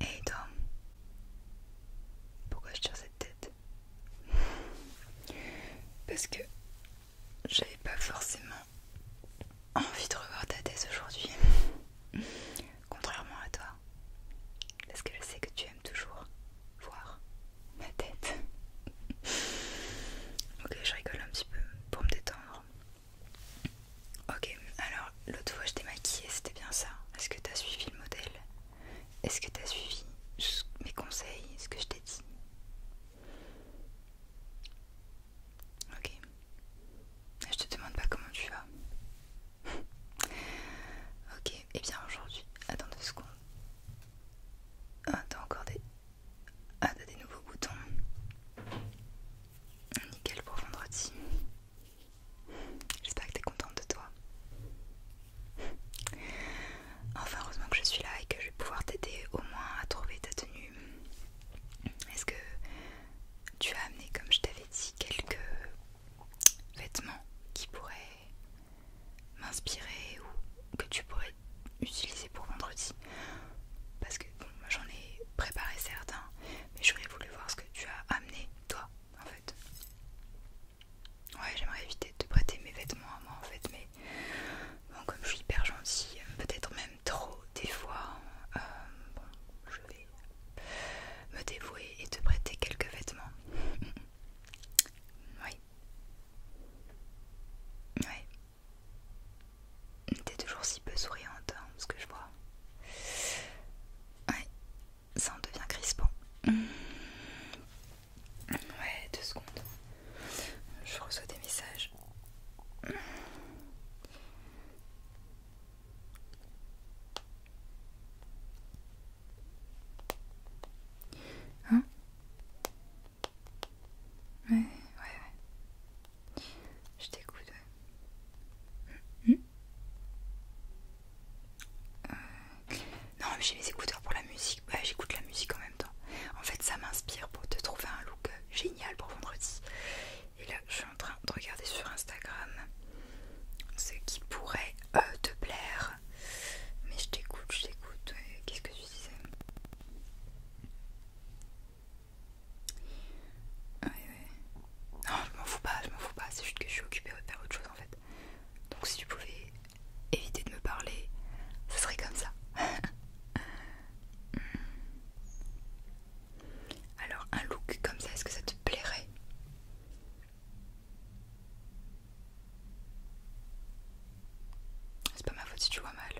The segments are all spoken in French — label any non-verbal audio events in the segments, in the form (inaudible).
Et toi pourquoi je tire cette tête Parce que j'avais pas forcément envie de revoir ta tête aujourd'hui, contrairement à toi, parce que je sais que tu aimes toujours voir ma tête. ok, je rigole un petit peu pour me détendre. Ok, alors l'autre fois je t'ai maquillée, c'était bien ça. Est-ce que tu as suivi le modèle Est-ce que tu as suivi mes conseils Ce que je t'ai dit Ok. Je te demande pas comment tu vas. (laughs) ok. Et, eh bien aujourd'hui, attends deux secondes. Ah, t'as encore des. Ah, des nouveaux boutons. Nickel pour vendredi. J'espère que t'es contente de toi. Enfin, heureusement que je suis là et que je vais pouvoir t'aider au moins à trouver ta tenue. Est-ce que tu as amené, comme je t'avais dit, quelques vêtements qui pourraient m'inspirer ou que tu pourrais utiliser pour vendredi parce que bon, j'en ai préparé certains mais j'aurais voulu voir ce que tu as amené toi en fait ouais j'aimerais éviter de te prêter mes vêtements à moi en fait mais bon comme je suis hyper gentille peut-être même trop des fois euh, bon je vais me dévouer et te prêter quelques vêtements oui. Oui. T'es toujours si peu souriante, hein, ce que je vois. Ouais. Ça en devient crispant. Ouais, deux secondes. Je reçois des messages. Hein Ouais, ouais, ouais. Je t'écoute. Ouais. Hum, hum. Euh, non, mais j'ai mes écouteurs pour la musique. Ouais, bah, j'écoute la musique en même temps. En fait, ça m'inspire pour te trouver un look euh, génial pour vendredi. Et là, je suis en train de regarder sur Instagram ce qui pourrait te euh, plaire. Mais je t'écoute, je t'écoute. Euh, qu'est-ce que tu disais ouais. Non, je m'en fous pas, je m'en fous pas. C'est juste que je suis occupée à faire autre chose en fait. Donc si tu pouvais éviter de me parler, ça serait comme ça. (laughs) Alors un look comme ça, est-ce que ça te plairait c'est pas ma faute si tu vois mal.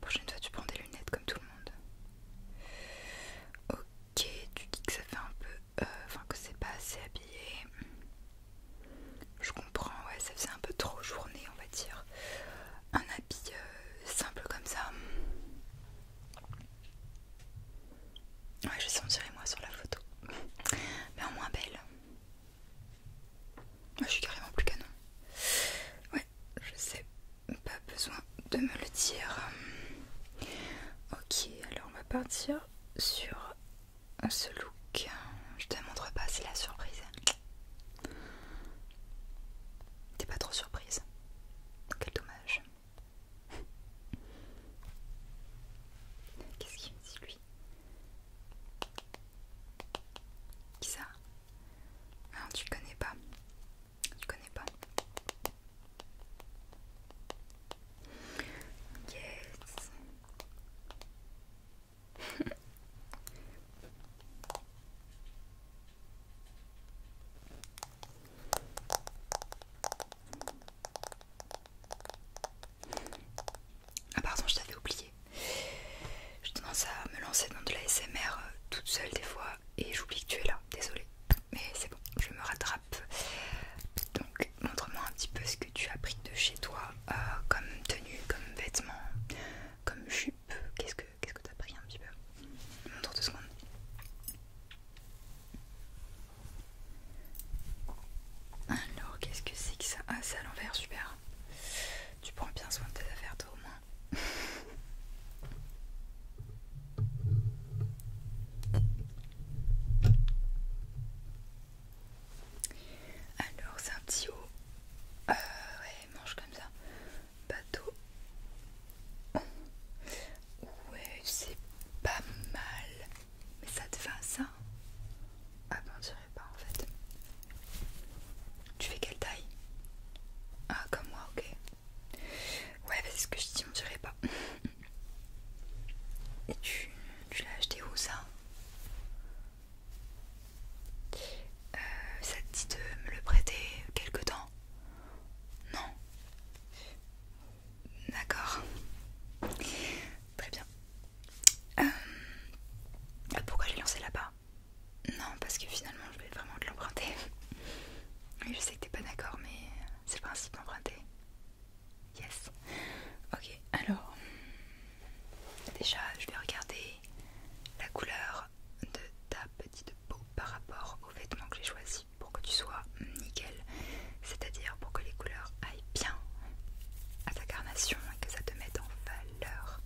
Prochaine fois, tu prends des lunettes comme tout le monde. Ok, tu dis que ça fait un peu. Euh, enfin, que c'est pas assez habillé. Je comprends, ouais, ça faisait un peu trop journée, on va dire. Un habit euh, simple comme ça. Ouais, je vais moi sur la photo. Mais en moins belle. je suis carrément plus canon. Ouais, je sais, pas besoin de me le dire. Ok, alors on va partir sur ce look. Je te montre pas, c'est la surprise. T'es pas trop surprise. Quel dommage. Qu'est-ce qu'il me dit lui Qui ça Alors, tu connais pas. Tu connais pas. Yes. (laughs) Ah pardon, je t'avais oublié. Je tendance à me lancer dans de la SMR euh, toute seule des fois et j'oublie que tu es là, désolée. Mais c'est bon, je me rattrape. Donc montre-moi un petit peu ce que tu as pris de chez toi euh, comme tenue, comme vêtements, comme jupe. Qu'est-ce que qu'est-ce que pris un petit peu Montre deux secondes. Alors, qu'est-ce que c'est que ça Ah, c'est à l'envers, super. Tu prends bien soin de tes affaires, toi au moins. Alors, c'est un petit haut. Euh, ouais, mange comme ça. Bateau. Ouais, c'est pas mal. Mais ça te va ça Ah bah on dirait pas en fait. Tu fais quelle taille Ah comme moi, ok. Ouais, bah, c'est ce que je dis, on dirait pas. Et tu, l'as acheté où ça euh, Ça te dit de me le prêter quelque temps Non D'accord. Très bien. Euh, pourquoi je l'ai lancé là-bas Non, parce que finalement je vais vraiment te l'emprunter. (laughs) Je sais que t'es pas d'accord, mais c'est le principe d'emprunter. Yes. Ok, alors. Déjà, je vais regarder la couleur de ta petite peau par rapport aux vêtements que j'ai choisi pour que tu sois nickel, c'est-à-dire pour que les couleurs aillent bien à ta carnation et que ça te mette en valeur.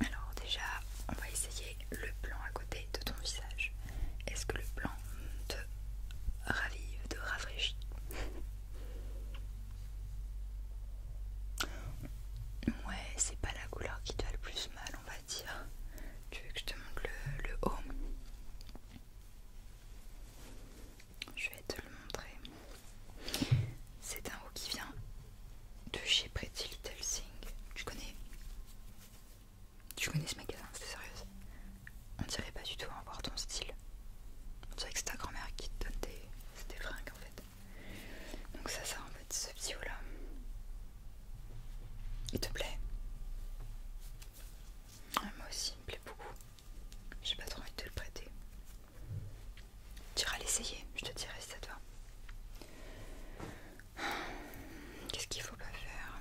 Alors déjà, on va essayer le blanc à côté de ton visage. Est-ce que le blanc te ravive, te rafraîchit Ouais, c'est pas la couleur qui te a le plus mal on va dire. Tu veux que je te montre le, haut Je vais te le montrer. C'est un haut qui vient de chez Pretty Little Thing. Tu connais Tu connais ce magasin, c'est sérieuse On dirait pas du tout avoir ton style. On dirait que c'est ta grand-mère qui te donne des fringues en fait. Donc ça, ça en fait ce petit haut là. Il te plaît ah, Moi aussi, il me plaît beaucoup. J'ai pas trop envie de te le prêter. Tu iras l'essayer, je te dirai si ça te Qu'est-ce qu'il faut pas faire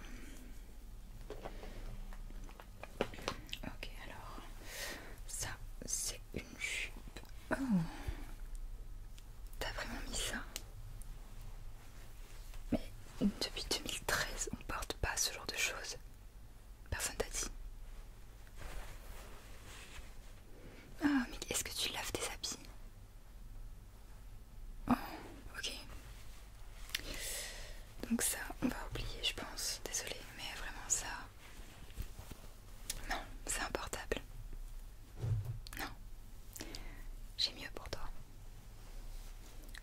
Ok, alors ça c'est une jupe. Oh. T'as vraiment mis ça Mais depuis 2013, on porte pas ce genre de choses. Personne t'a dit. Ah, mais est-ce que tu laves tes habits Oh, ok. Donc ça, on va oublier, je pense. Désolée, mais vraiment ça... Non, c'est un portable. Non, j'ai mieux pour toi.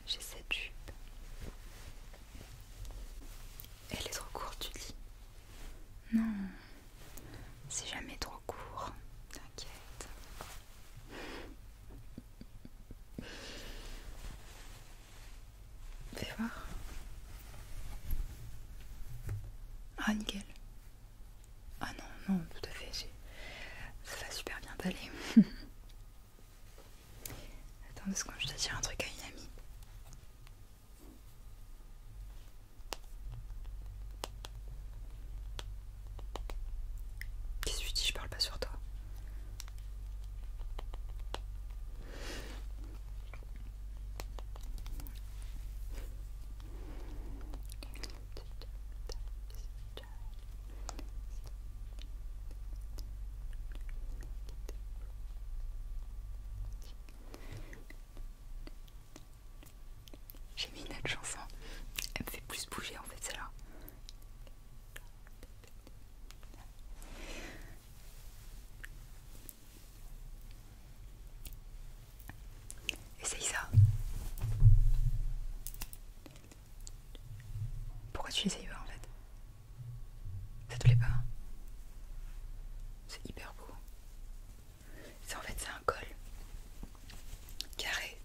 J'ai cette jupe. Elle est trop courte, tu dis Non, c'est jamais trop court. T'inquiète. Fais voir. Ah, nickel. Ah non, non, tout à fait, ça va super bien t'aller. (laughs) Attends est-ce qu'on je juste dire un truc à une amie. Qu'est-ce que tu dis, je parle pas sur toi. J'ai mis une autre chanson, elle me fait plus bouger en fait celle-là. Essaye ça. Pourquoi tu n'essayes pas en fait Ça te plaît pas C'est hyper beau. C'est en fait c'est un col carré.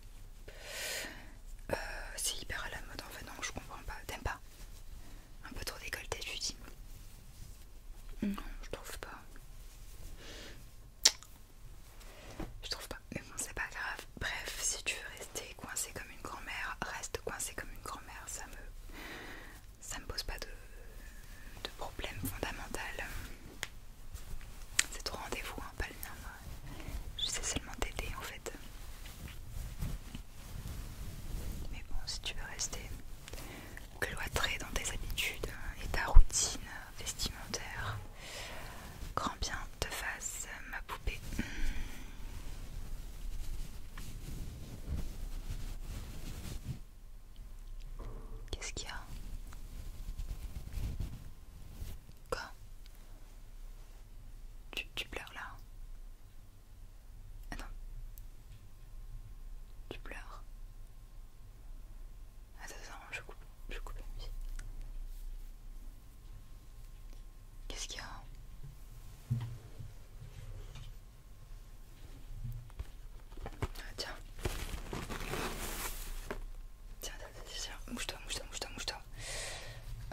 Euh, c'est hyper à la mode en fait. Non, je comprends pas. T'aimes pas Un peu trop décolleté, tu dis Non, je trouve pas. Je trouve pas. Mais bon, c'est pas grave. Bref, si tu veux rester coincé comme une grand-mère, reste coincé comme une grand-mère. Ça me, ça me pose pas de, problème fondamental. C'est ton rendez-vous, hein, pas le mien. Je sais seulement t'aider en fait. Mais bon, si tu veux rester, cloîtré dans tes habitudes euh, et ta routine euh, vestimentaire. Grand bien te fasse, euh, ma poupée. Qu'est-ce qu'il y a Quoi tu, tu pleures là Attends. Ah tu pleures Attends, ah, attends, je coupe, je coupe Qu'est-ce qu'il y a ah, tiens tiens. Tiens, mouche-toi, mouche-toi, mouche-toi, mouche-toi.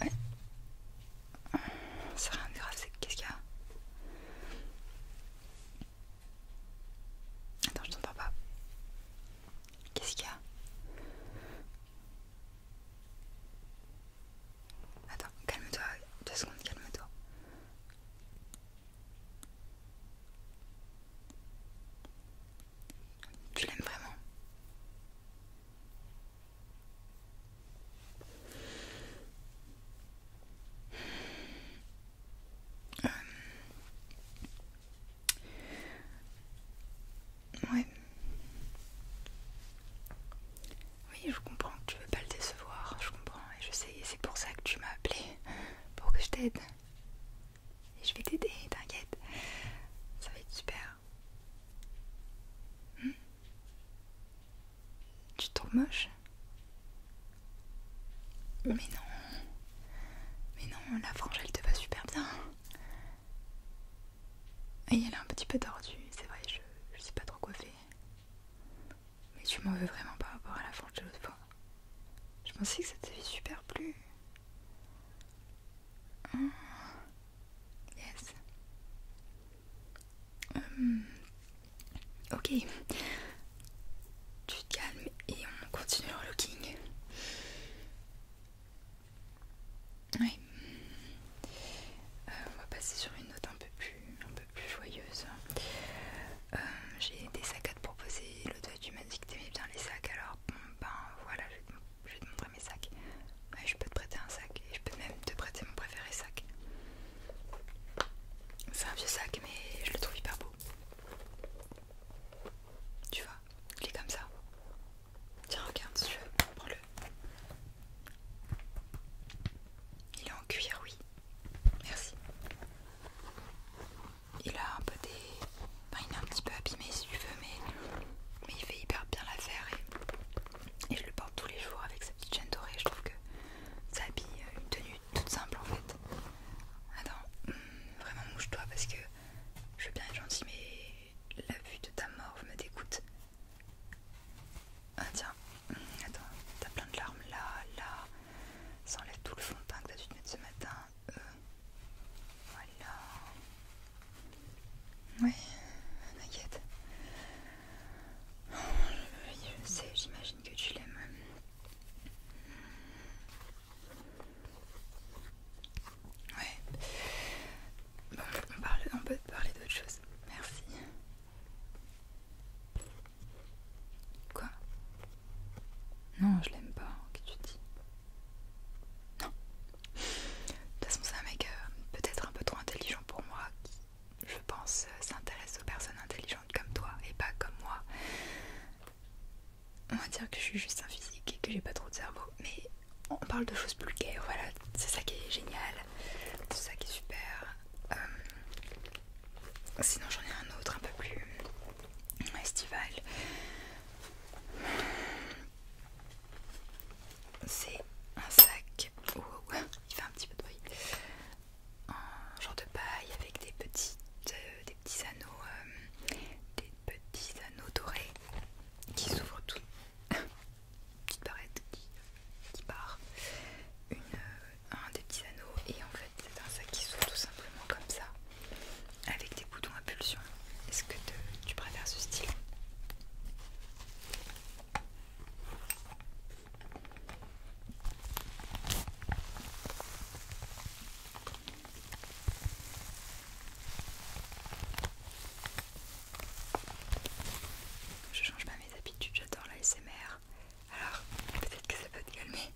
Ouais. C'est rien de grave, c'est qu'est-ce qu'il y a Attends, je t'entends pas. Qu'est-ce qu'il y a Attends, calme-toi, deux secondes, calme-toi. Tu l'aimes vraiment euh, ouais. Oui, je comprends que tu veux pas le décevoir, je comprends, et je sais, et c'est pour ça que tu m'as appelé, pour que je t'aide. Et je vais t'aider, t'inquiète. Ça va être super. Hmm? tu te trouves moche mais non. Mais non, la frange elle te va super bien. Et elle est un petit peu tordue, c'est vrai, je, je sais pas trop quoi faire. Mais tu m'en veux vraiment par rapport à la frange de l'autre fois. Je pensais que ça t'avait super plu. Ah. Yes. Hum. Ok, tu te calmes et on continue le looking. Oui. Euh, on va passer sur une note un peu plus, un peu plus joyeuse. Euh, j'ai des sacs à te proposer. L'autre fois tu m'as dit que t'aimais bien les sacs, alors ben voilà, je vais, te, montrer mes sacs. je peux te prêter un sac et je peux même te prêter mon préféré sac. C'est un vieux sac, mais je le trouve hyper beau. Tu vois, il est comme ça. Tiens, regarde si tu veux, prends-le. Il est en cuir, oui. Merci. Il a un peu des. Enfin, il est un petit peu abîmé si tu veux, mais, mais il fait hyper bien l'affaire et... et je le porte tous les jours avec sa petite chaîne dorée. Je trouve que ça habille une tenue toute simple en fait. Attends, hum, vraiment mouche-toi parce que je veux bien être gentil, mais la vue de ta morve me dégoûte. Ah tiens, hum, attends, t'as plein de larmes là, là. Ça enlève tout le fond de teint que t'as dû te mettre ce matin. Euh, voilà. Oui, t'inquiète je sais, j'imagine que tu l'aimes. Ouais. Bon, on, peut parler d'autre chose. Merci. Quoi Non, je l'aime pas, que tu dis. Non. De toute façon, c'est un mec euh, peut-être un peu trop intelligent pour moi je pense, euh, s'intéresse aux personnes intelligentes comme toi et pas comme moi. On va dire que je suis juste un physique et que j'ai pas trop de cerveau, mais on parle de choses plus gaies, voilà, c'est ça qui est génial, c'est ça qui est super. Euh, sinon, j'en ai un autre un peu plus euh, estival. C'est un sac. Oh, il fait un petit peu de bruit un genre de paille avec des petits, euh, des petits anneaux, euh, des petits anneaux dorés qui s'ouvrent tout. (laughs) Petite barrette qui, qui part. Euh, un des petits anneaux et en fait c'est un sac qui s'ouvre tout simplement comme ça avec des boutons à pulsion. Est-ce que tu préfères ce style je change pas mes habitudes, j'adore la SMR. Alors, peut-être que ça peut te calmer.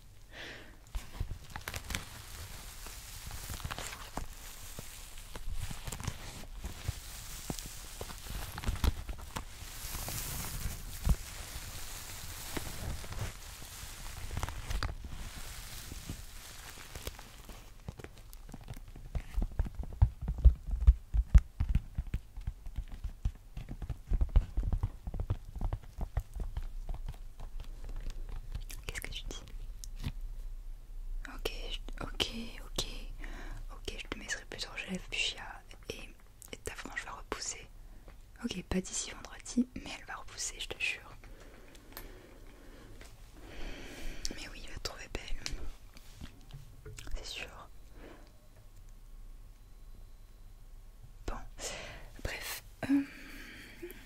Qu'est-ce que tu dis Ok, ok, ok, ok, je te mettrai plus en chef, du et et ta frange va repousser. Ok, pas d'ici vendredi, mais elle va repousser, je te jure. Mais oui, il va te trouver belle. C'est sûr. Bon, bref, j'avais euh,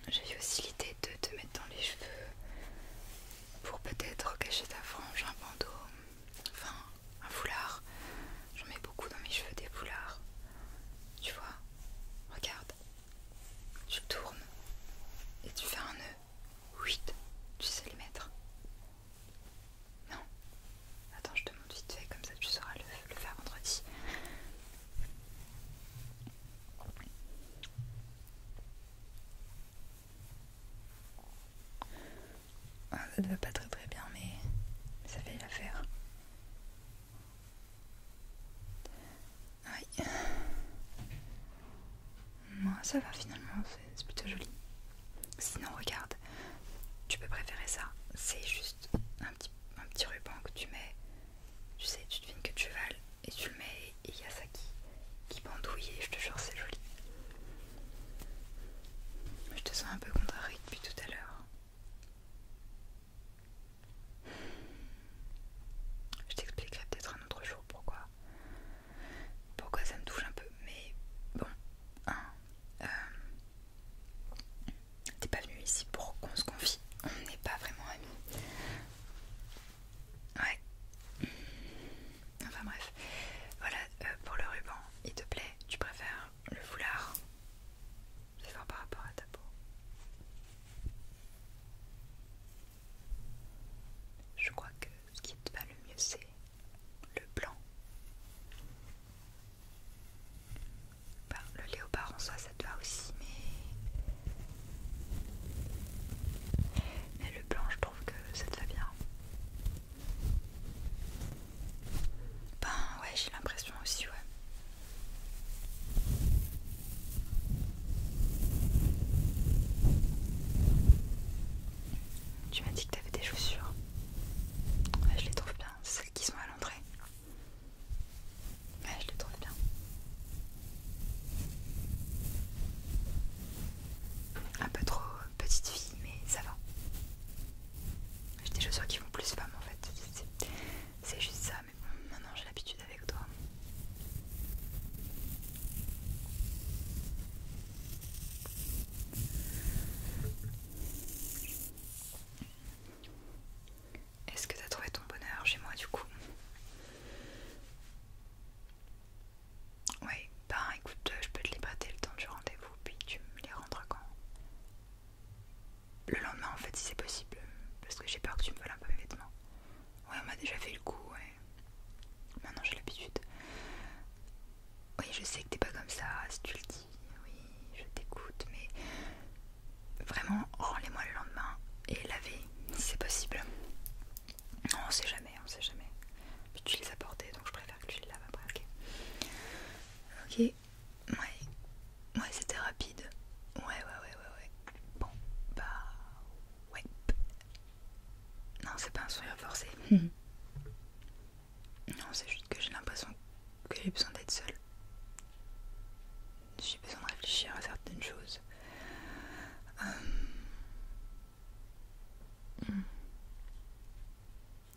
j'ai aussi l'idée de te mettre dans les cheveux pour peut-être cacher ta frange un bandeau Enfin, un foulard. J'en mets beaucoup dans mes cheveux des foulards. Tu vois Regarde. Tu tournes et tu fais un nœud. 8. Tu sais le mettre. Non. Attends, je te montre vite fait, comme ça tu sauras le faire vendredi. Ah, ça ne va pas très très bien, mais ça fait l'affaire. Oui. Moi, ça va finalement, c'est plutôt joli. Sinon, regarde, tu peux préférer ça. C'est juste un petit, un petit ruban que tu mets. Tu sais, tu devines que tu vales et tu le mets et il y a ça qui, qui bandouille et je te jure, c'est joli. Je te sens un peu contrariée depuis tout à l'heure. Je t'expliquerai peut-être un autre jour pourquoi. Pourquoi ça me touche un peu, mais bon, hein, euh, t'es pas venu ici pour qu'on se confie, on n'est pas vraiment amis. Ouais. Enfin bref, voilà euh, pour le ruban. Il te plaît Tu préfères le foulard c'est fort par rapport à ta peau. Je crois que ce qui te va le mieux, c'est le blanc. le léopard en soi, ça te va aussi, mais mais le blanc, je trouve que ça te va bien. Ben ouais, j'ai l'impression aussi, ouais. Tu m'as dit que t'avais des chaussures. Ouais, je les trouve bien, celles qui sont à l'entrée. Ouais, je les trouve bien. Un ah, peu trop euh, petite fille, mais ça va. J'ai des chaussures qui vont plus femme en fait. C'est juste ça, mais bon, maintenant j'ai l'habitude avec toi. Est-ce que t'as trouvé ton bonheur chez moi du coup oui, bah ben, écoute, euh, je peux te les prêter le temps du rendez-vous, puis tu me les rendras quand Le lendemain en fait si c'est possible, parce que j'ai peur que tu me voles un peu mes vêtements. Ouais, on m'a déjà fait le coup, ouais. Maintenant j'ai l'habitude. Oui, je sais que t'es pas comme ça, si tu le dis, oui, je t'écoute, mais vraiment, rends-les-moi le lendemain et lavez si c'est possible. Non, on sait jamais, on sait jamais. Puis tu les as portés, donc je préfère que tu les laves après, ok Ok, ouais, ouais, c'était rapide. Ouais, ouais, ouais, ouais, ouais. Bon, bah, ouais. Non, c'est pas un sourire forcé. (laughs) Non, c'est juste que j'ai l'impression que j'ai besoin d'être seule. J'ai besoin de réfléchir à certaines choses. Euh,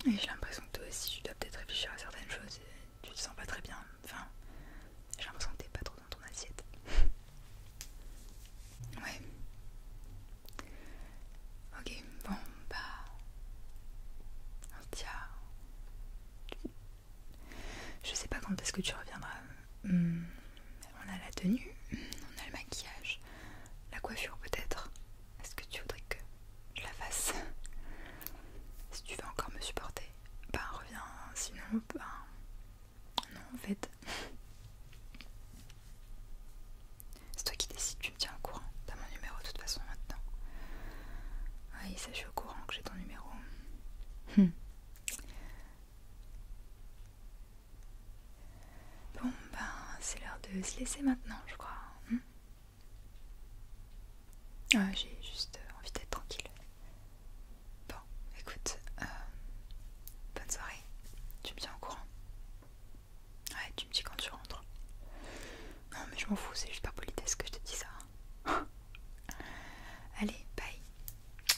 et j'ai l'impression que toi aussi tu dois peut-être réfléchir à certaines choses et tu te sens pas très bien. Enfin, j'ai l'impression que t'es pas trop dans ton assiette. ouais. Ok, bon, bah. Tiens. Je sais pas quand est-ce que tu reviendras. Hmm on a la tenue, on a le maquillage, la coiffure peut-être. Est-ce que tu voudrais que je la fasse Si tu veux encore me supporter, ben reviens, sinon ben non en fait. C'est toi qui décides, tu me tiens au courant. T'as mon numéro de toute façon maintenant. Oui, ça au courant que j'ai ton numéro. Hum. Bon, ben, c'est l'heure de se laisser maintenant, je crois. Hein. Ah, j'ai juste envie d'être tranquille. Bon, écoute, euh, bonne soirée. Tu me tiens au courant. Ouais, tu me dis quand tu rentres. Non, mais je m'en fous, c'est juste par politesse que je te dis ça. Hein. (laughs) Allez, bye.